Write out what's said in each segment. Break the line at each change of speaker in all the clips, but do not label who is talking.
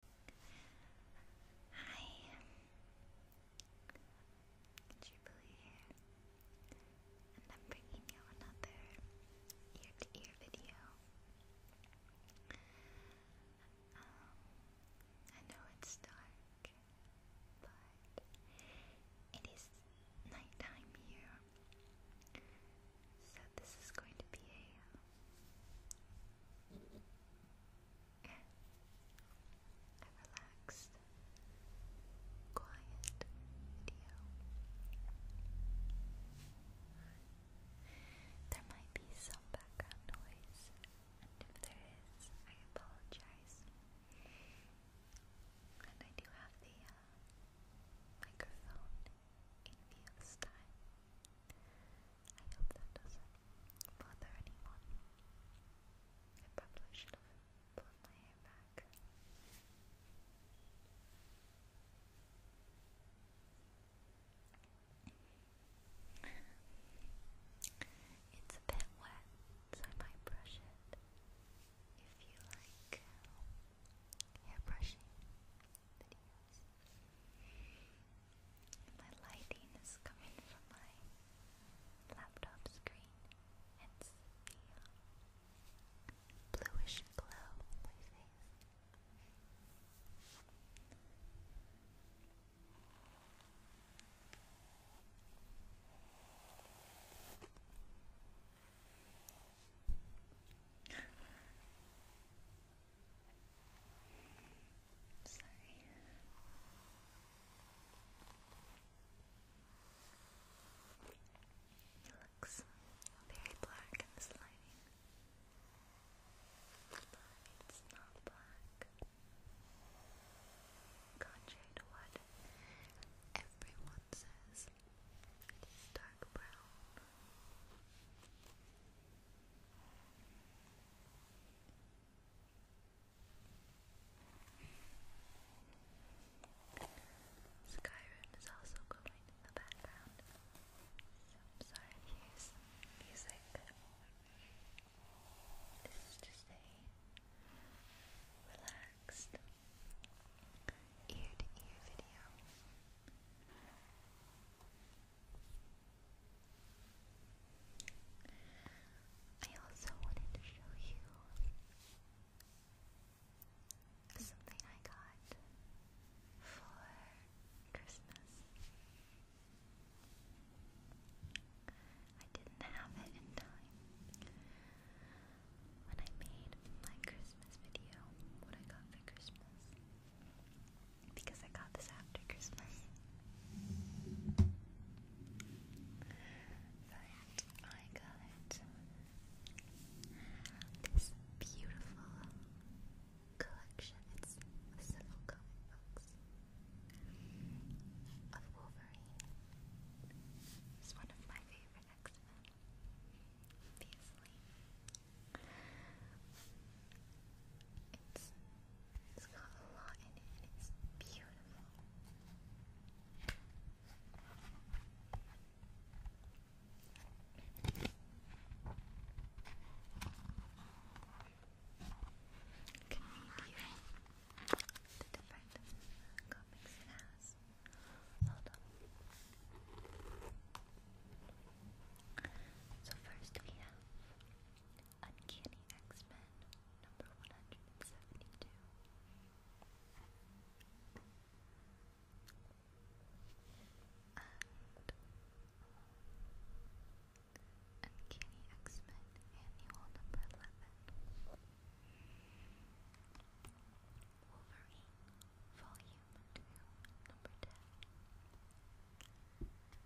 Hi. Jubilee And I'm bringing you another ear to ear video. Um, I know it's dark, but it is nighttime here. So this is going to be a a relaxed, quiet video. There might be some background noise, and if there is, I apologize. And I do have the uh, microphone in view this I hope that doesn't bother anyone. I probably should have pulled my hair back. It's a bit wet, so I might brush it if you like hair uh, brushing videos. My lighting is coming from my laptop screen. It's the bluish glow on my face. Sorry. It looks very black in this lighting. it's not black. Contrary to what everyone says, it is dark brown. Skyrim is also going in the background. I'm sorry if you music. This is just a relaxed ear to ear video. I also wanted to show you something I got for Christmas. I didn't have it in time. When I made my Christmas video, what I got for Christmas, because I got this after Christmas. I got this beautiful collection. It's several comic books of Wolverine. He's one of my favorite X-Men, obviously. It's it's got a lot in it and it's beautiful. You can read the different comics has. Hold on. So first we have Uncanny X Men number 172. Uncanny X Men annual number 11. Wolverine, Volume 2, Number 10.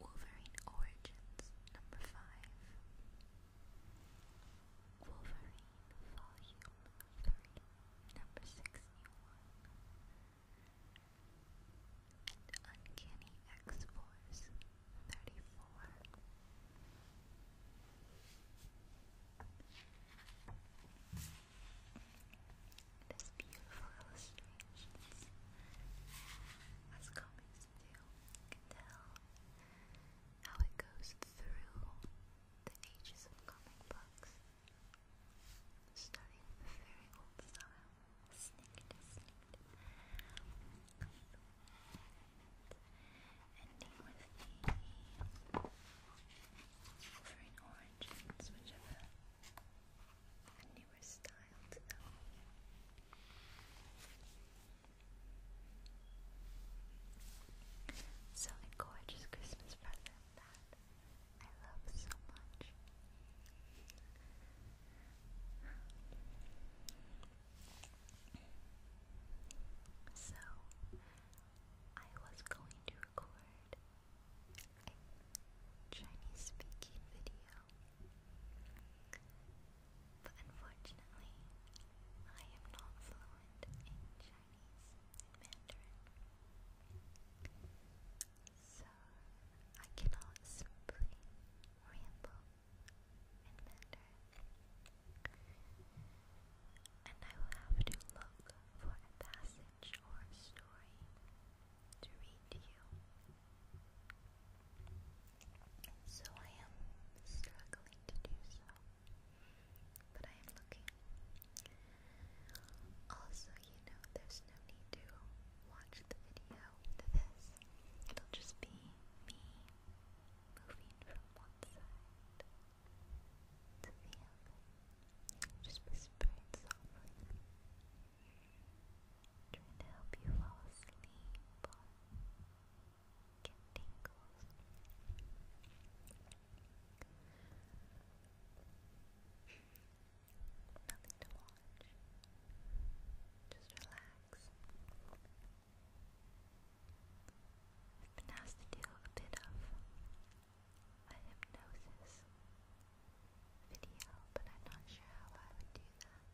Wolverine Origins number 5 Wolverine Volume 3 number 61 Uncanny X-Force 34 this beautiful illustrations, as comics do, can tell how it goes through the ages of comic books, starting with the very old style, snicked, snicked, ending with the Wolverine Origins, whichever a newer style to um, a gorgeous Christmas present that I love so much. So I was going to record a Chinese speaking video. But unfortunately, I am not fluent in Chinese Mandarin. So I cannot simply ramble in Mandarin. And I will have to look for a passage or story to read to you. So I am struggling to do so, but I am looking. Also, you know, there's no need to watch the video to this, it'll just be me moving from one side to the other. Just whispering softly. Trying to help you fall asleep or get Nothing to watch. Just relax. It's been asked to do a bit of a hypnosis video, but I'm not sure how I would do that.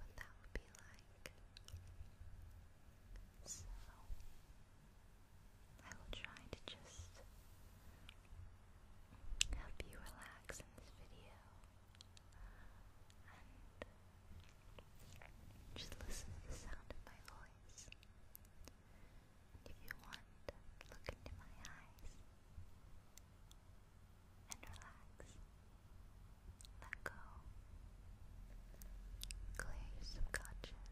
What that would be like. So, I will try to just help you relax in this video and just listen to the sound of my voice. If you want, look into my eyes and relax. Let go. Clear your subconscious.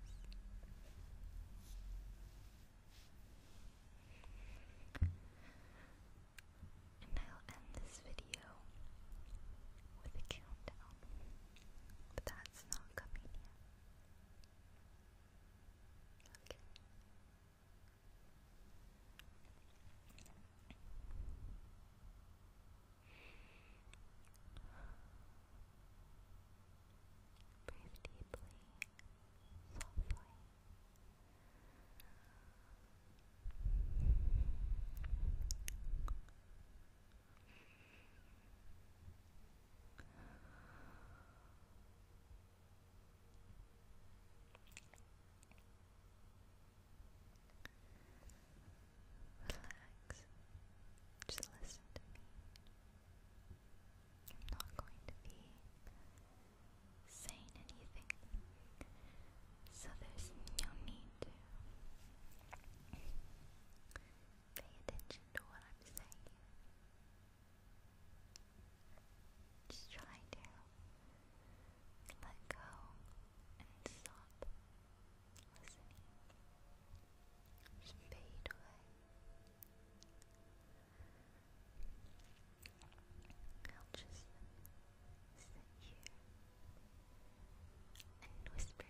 And I'll end this video with a countdown, but that's not coming yet. Okay. Breathe deeply, softly. Relax. Just listen to me. I'm not going to be saying anything, so there's no need to pay attention to what I'm saying. Just try to let go and stop Just fade away. I'll just sit here and whisper something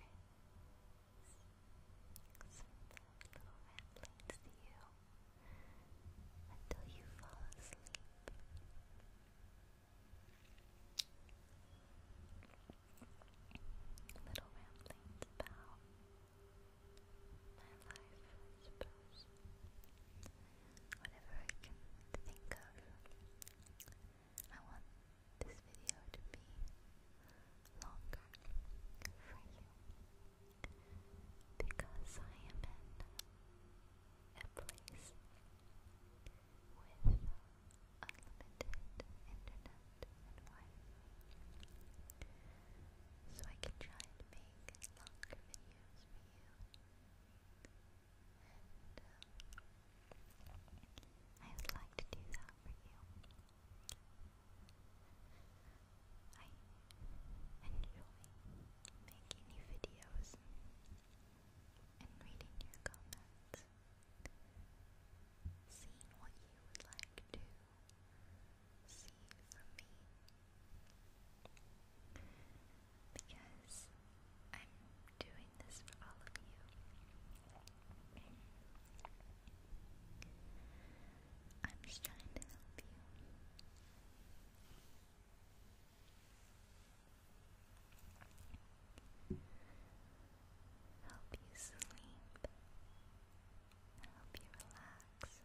little ramblings to you until you fall asleep. Little ramblings about my life, I suppose. Whatever I can think of. I want this video to be longer for you because I am in a place with unlimited internet so I can try and make longer videos for you. Um, I would like to do that for you. I enjoy making new videos and reading your comments, seeing what you would like to see from me. Because I'm doing this for all of you. I'm just trying to help you. Help you sleep. Help you relax.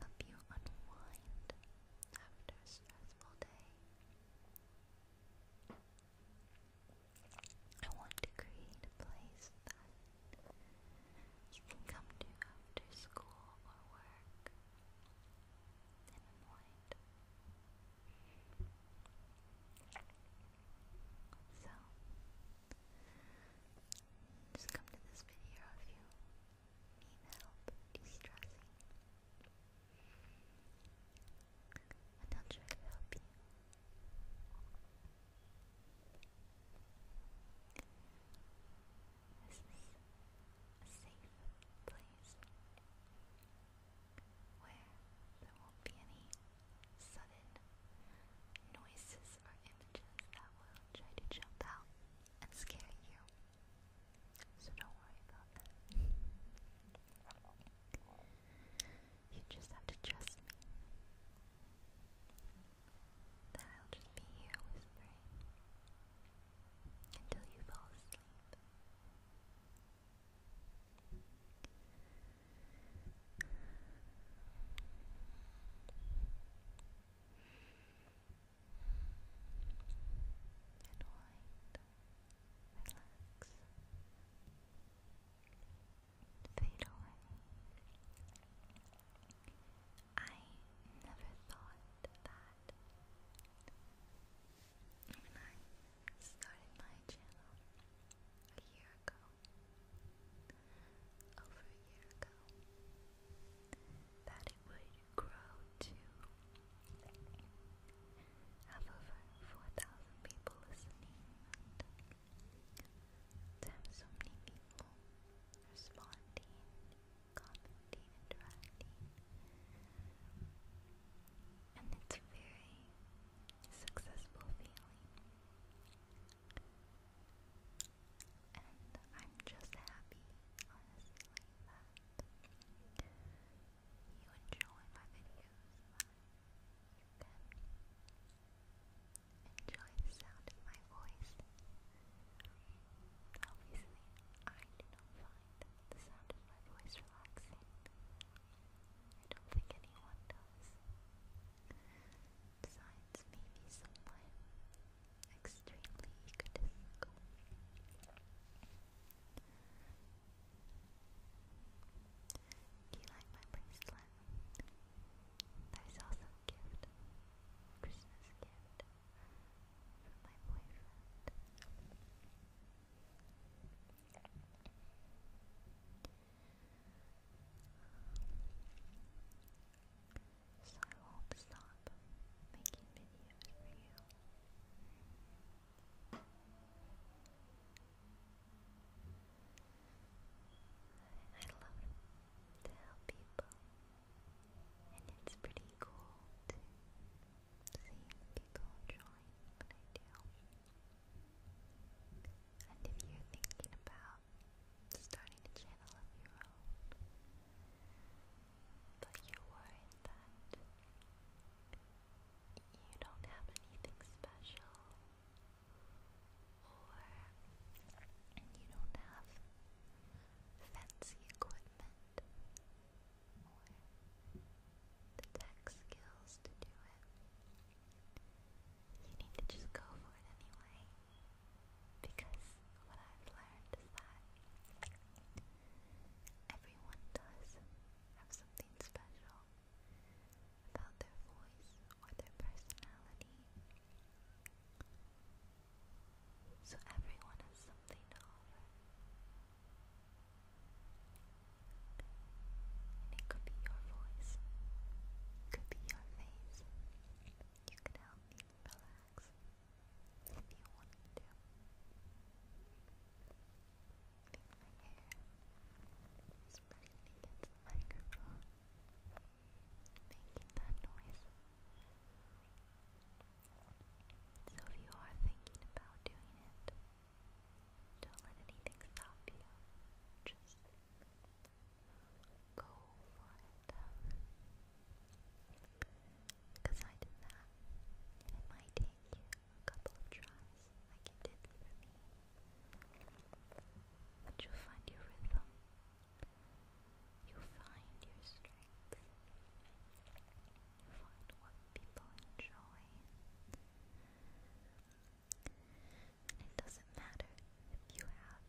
Help you unwind after a stressful day. I want to create a place that you can come to after school or work in the So, just come to this video if you need help de-stressing. And I'll try to help you. This is a safe place where there won't be any sudden noises or images that will try to jump out and scare you. So don't worry about that. You just have to trust me that I'll just be here whispering until you fall asleep. And white, relax. Relax fade away. I never thought that when I started my channel a year ago, over a year ago, that it would grow to have over 4,000 people listening to have so many people responding, commenting, interacting, and it's very successful feeling. And I'm just happy, honestly, that you enjoy my videos, that you can enjoy the sound of my voice. Obviously, I do not find the sound of my voice relaxing. I don't think anyone does. Besides, maybe someone extremely egotistical. Do you like my bracelet? There's also a gift, Christmas gift from my boyfriend. So I won't stop making videos for you. I love to help people, and it's pretty cool to see people enjoying what I do. And if you're thinking about starting a channel of your own, but you're that you don't have anything special or you don't have fancy equipment or the tech skills to do it, you need to just go for it anyway. Because what I've learned is that everyone does have something special about their voice or their personality. So everyone has something to offer. And it could be your voice, it could be your face. You can help me relax if you want to. I my hair is pressing against the microphone making So if you are thinking about doing it, don't let anything stop you. Just go for it. Because I did that, and it might take you a couple of tries, like it did me. But you'll find your rhythm, you find your strength. You find what people enjoy. it doesn't matter if you have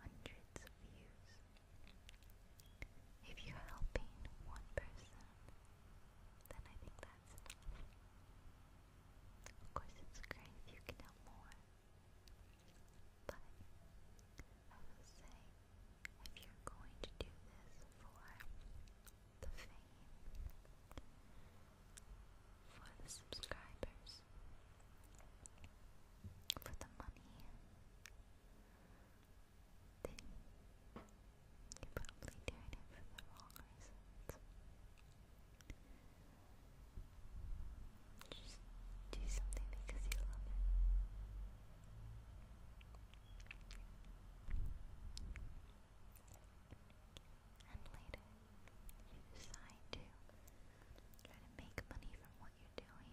hundreds of views. If you're helping one person, then I think that's enough. Of course, it's great if you can help more. But I will say, if you're going to do this for the fame, for the subscribers, for the money, then you're probably doing it for the wrong reasons. Just do something because you love it. And later, you decide to try to make money from what you're doing.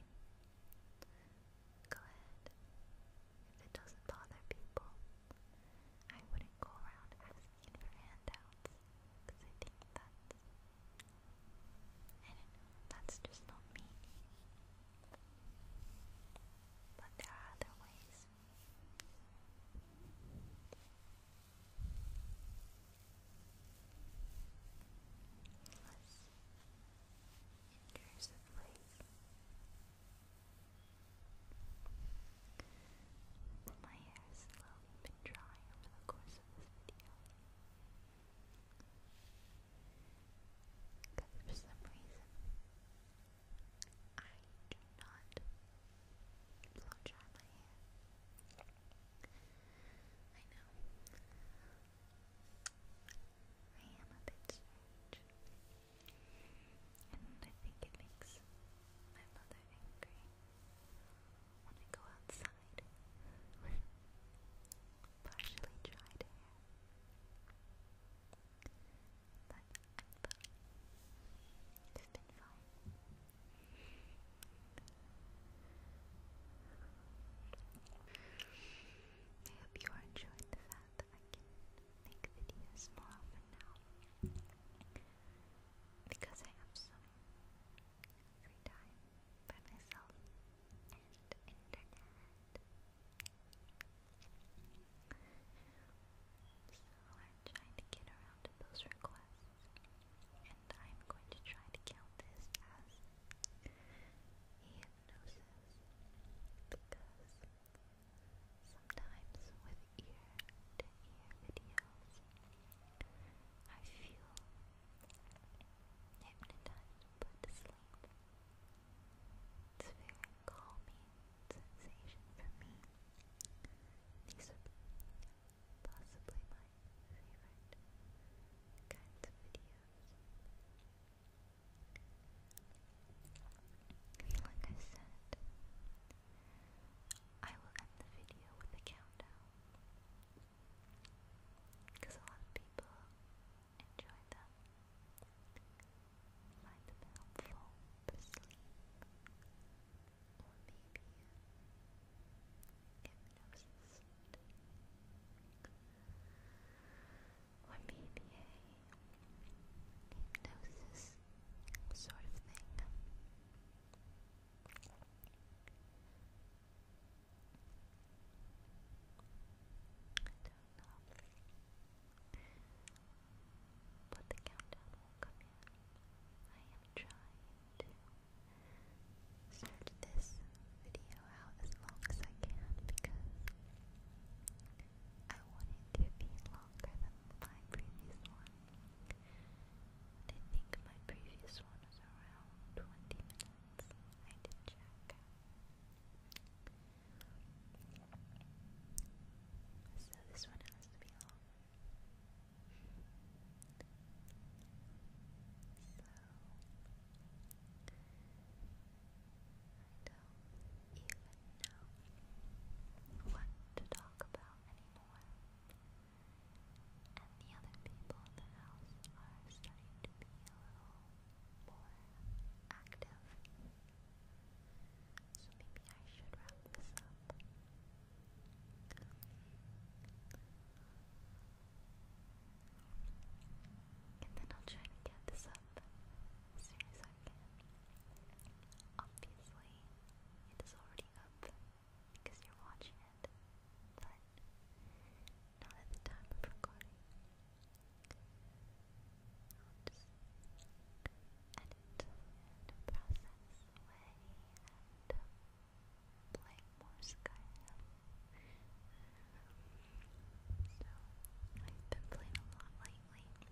Go ahead. If it doesn't bother people, I wouldn't go around asking for handouts because I think that's that's just not me. But there are other ways. My hair has slowly drying over the course because for some reason, I do not blow dry my hair. I know. I am a bit strange. And I think it makes my mother angry when I go outside. Partially dried hair. But I'm been fine. I hope you are enjoying the fact that I can make videos more often now. Because I have some free time by myself and internet. So I'm trying to get around those requests, and I'm going to try to count this as hypnosis because sometimes with ear to ear videos, I feel hypnotized, put to sleep. It's very calming sensation for me. These are possibly my favorite kinds of videos. Like I said, I will end the video with a countdown because a lot of people enjoy them, find them helpful for sleep, or maybe hypnosis, or maybe hypnosis sort of thing. But the countdown will come in. I am trying to stretch this video out as long as I can because I want it to be longer than my previous one. And I think my previous one was around 20 minutes. I did check. So this one has to be long. So even know what to talk about anymore and the other people in the house are starting to be a little more active. So maybe I should wrap this up. And then I'll try to get this up as soon as I can. Obviously, it is already up because you're watching it, but not at the time of recording. edit process play uh, more Skyrim. So, I've been playing a lot lately, and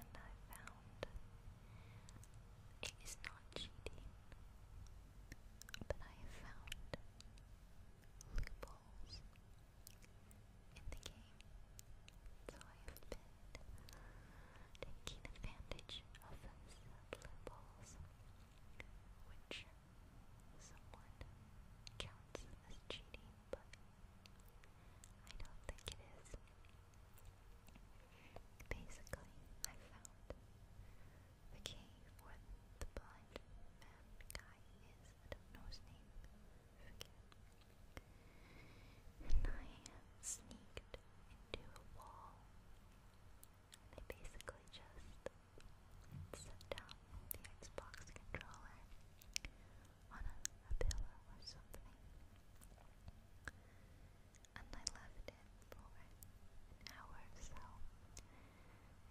I found it is not cheating but I have found loopholes in the game, so I have been taking advantage of those loopholes, which someone counts as cheating, but I don't think it is. Basically, I found the cave where the blind man guy is, I do name, And I sneaked into a wall. And basically just set down the Xbox controller on a pillow or something and I left it for an hour so.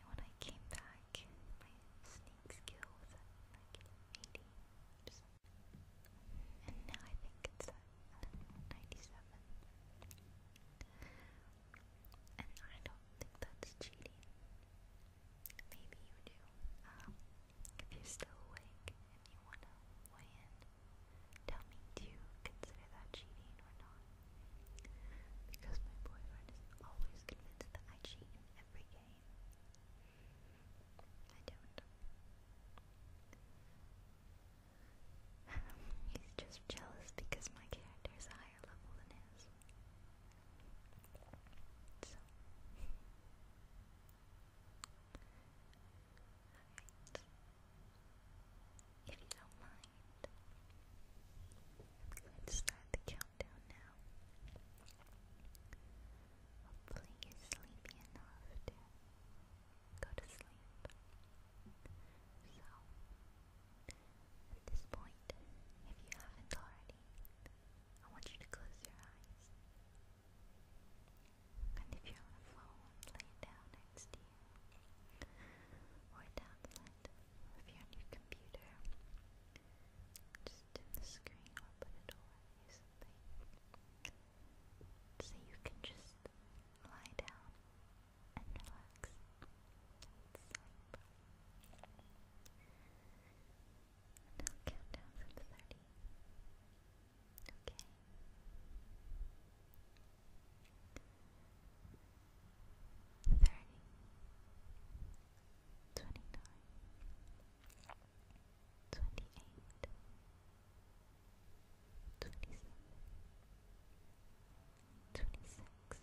when I came back, my sneak skill was like 80 and now I think it's at 97. And I don't think that's cheating. Maybe you do. Um, if you're still awake and you want to weigh in, tell me do you consider that cheating or not? Because my boyfriend is always convinced that I cheat every game. I don't. He's just jealous because my character is a higher level than his. If you don't mind, I'm going to start the countdown now. Hopefully, you're sleepy enough to go to sleep. So, at this point, if you haven't already, I want you to close your eyes. And if you're on a phone, lay down next to you. Or down the with your new computer. Just dim the screen or put it away, something. So you can just lie down and relax and sleep. And I'll count down from 30. Okay thirty, twenty nine, twenty eight, twenty seven, twenty six,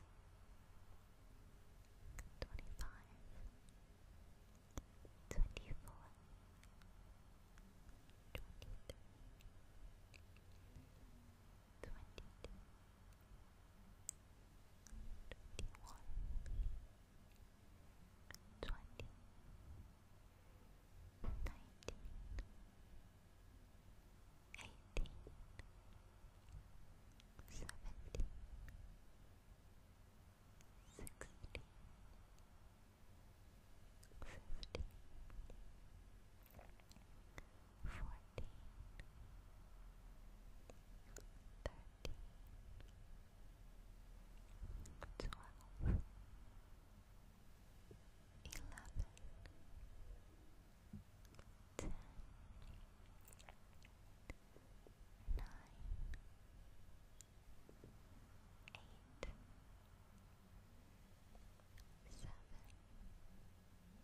twenty five, twenty four, twenty three. 23 twenty-two, twenty-one, twenty, nineteen, eighteen, seventeen, sixteen, fifteen. 14 fourteen, thirteen, twelve, eleven, ten, nine, eight, seven. Six,